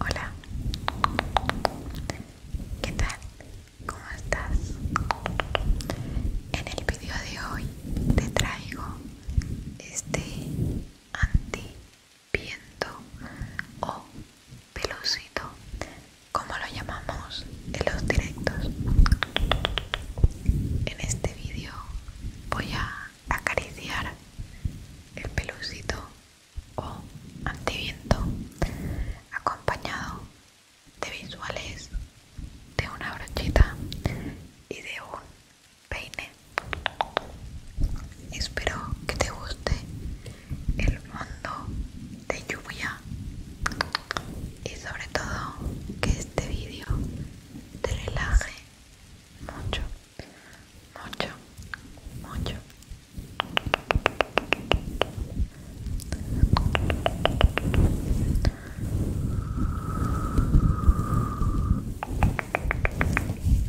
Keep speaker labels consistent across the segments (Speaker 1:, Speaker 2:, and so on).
Speaker 1: Hola, ¿qué tal? ¿Cómo estás? En el video de hoy te traigo este anti viento o pelucito, como lo llamamos en los directos. En este vídeo voy a acariciar el pelucito o antiviento acompañado de visuales de una brochita y de un peine Espero que te guste el mundo de lluvia y sobre todo que este vídeo te relaje mucho, mucho, mucho.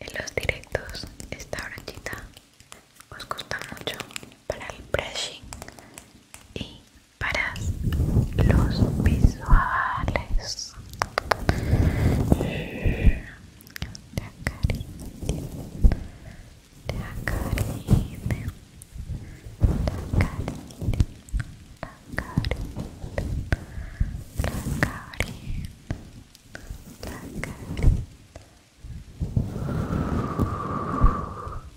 Speaker 1: En los directos esta brochita os gusta mucho para el brushing y para los visuales. Te acaricien, te acaricien, te acaricien, te acaricien, te acaricien, te acaricien.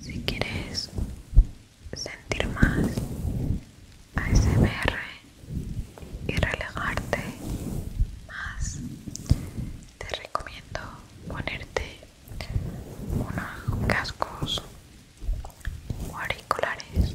Speaker 1: Si quieres sentir más ASMR y relajarte más, te recomiendo ponerte unos cascos auriculares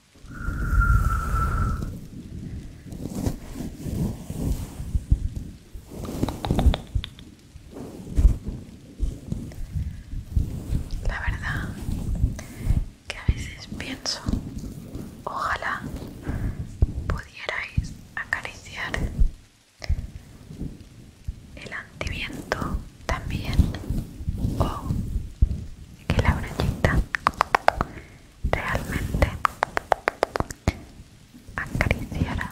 Speaker 1: La verdad que a veces pienso, ojalá pudierais acariciar el antiviento también o que la brochita realmente acariciara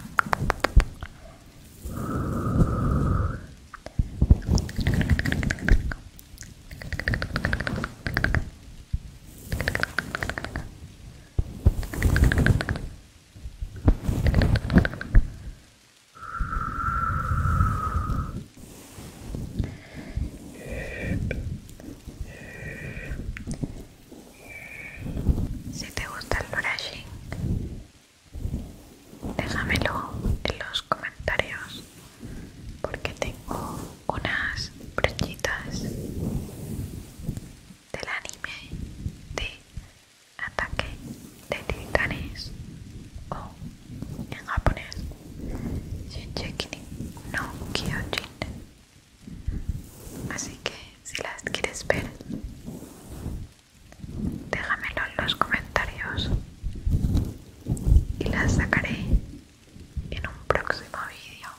Speaker 1: si te gusta el brushing, déjamelo en los comentarios porque tengo unas brochitas del anime de ataque de titanes o oh en japonés no Kyojin así que si las quieres ver déjamelo en los comentarios y las sacaré en un próximo vídeo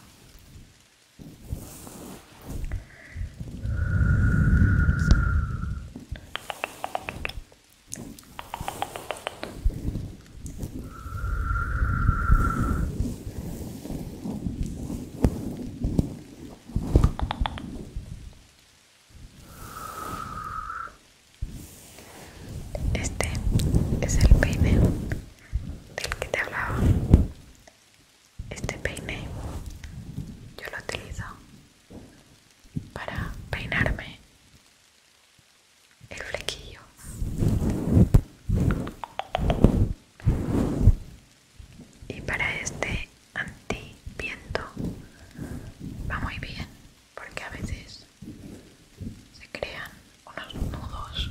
Speaker 1: este es el peine del que te hablaba. Este peine yo lo utilizo para peinarme el flequillo y para este viento va muy bien porque a veces se crean unos nudos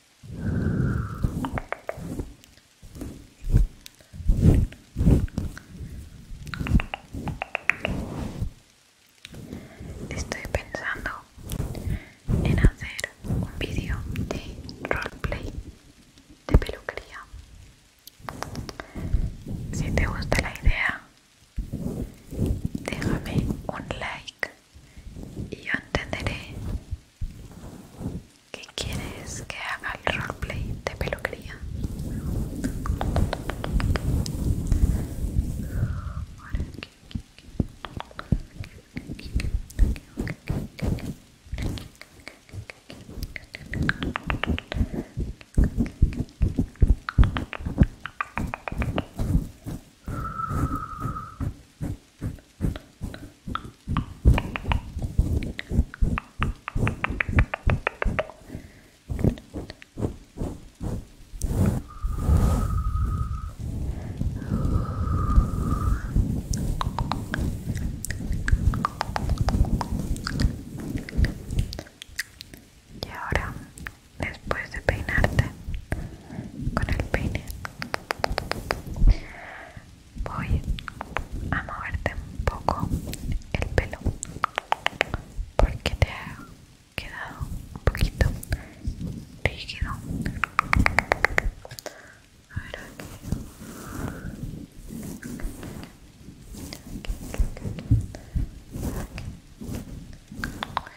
Speaker 1: Estoy pensando en hacer un vídeo de roleplay de peluquería. Si te gusta la idea, déjame un like y yo entenderé ¿Qué quieres que haga el roleplay de peluquería? Y ahora, después de peinarte, con el peine voy a moverte un poco el pelo porque te ha quedado un poquito rígido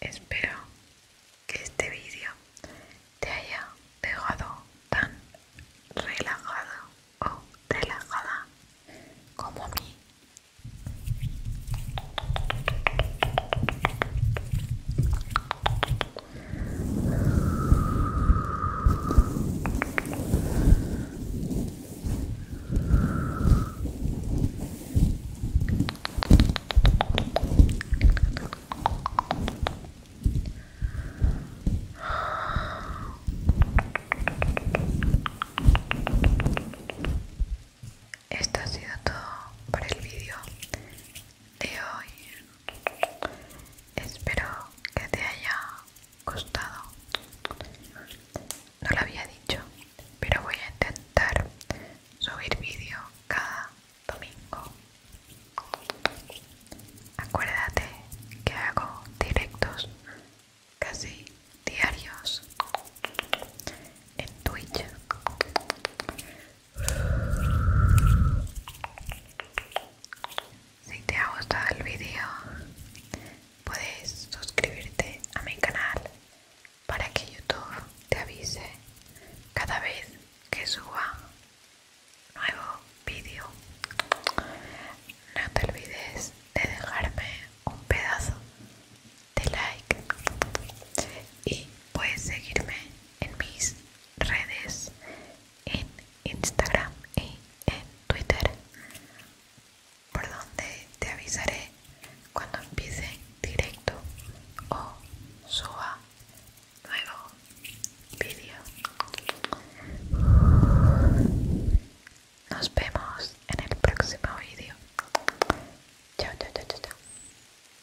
Speaker 1: Espero que este vídeo te haya dejado tan relajado o relajada como a mí. Esto ha sido todo para el vídeo de hoy. Espero que te haya gustado. No lo había dicho, pero voy a intentar subir vídeo cada domingo. Acuérdate que hago directos casi diarios en Twitch si te ha gustado el vídeo, puedes suscribirte a mi canal para que YouTube te avise cada vez que suba nuevo vídeo. No te olvides de dejarme un pedazo de like y puedes seguirme en mis redes en Instagram y en Twitter por donde te avisaré cuando empiece directo o suba nuevo vídeo nos vemos en el próximo vídeo chao chao chao chao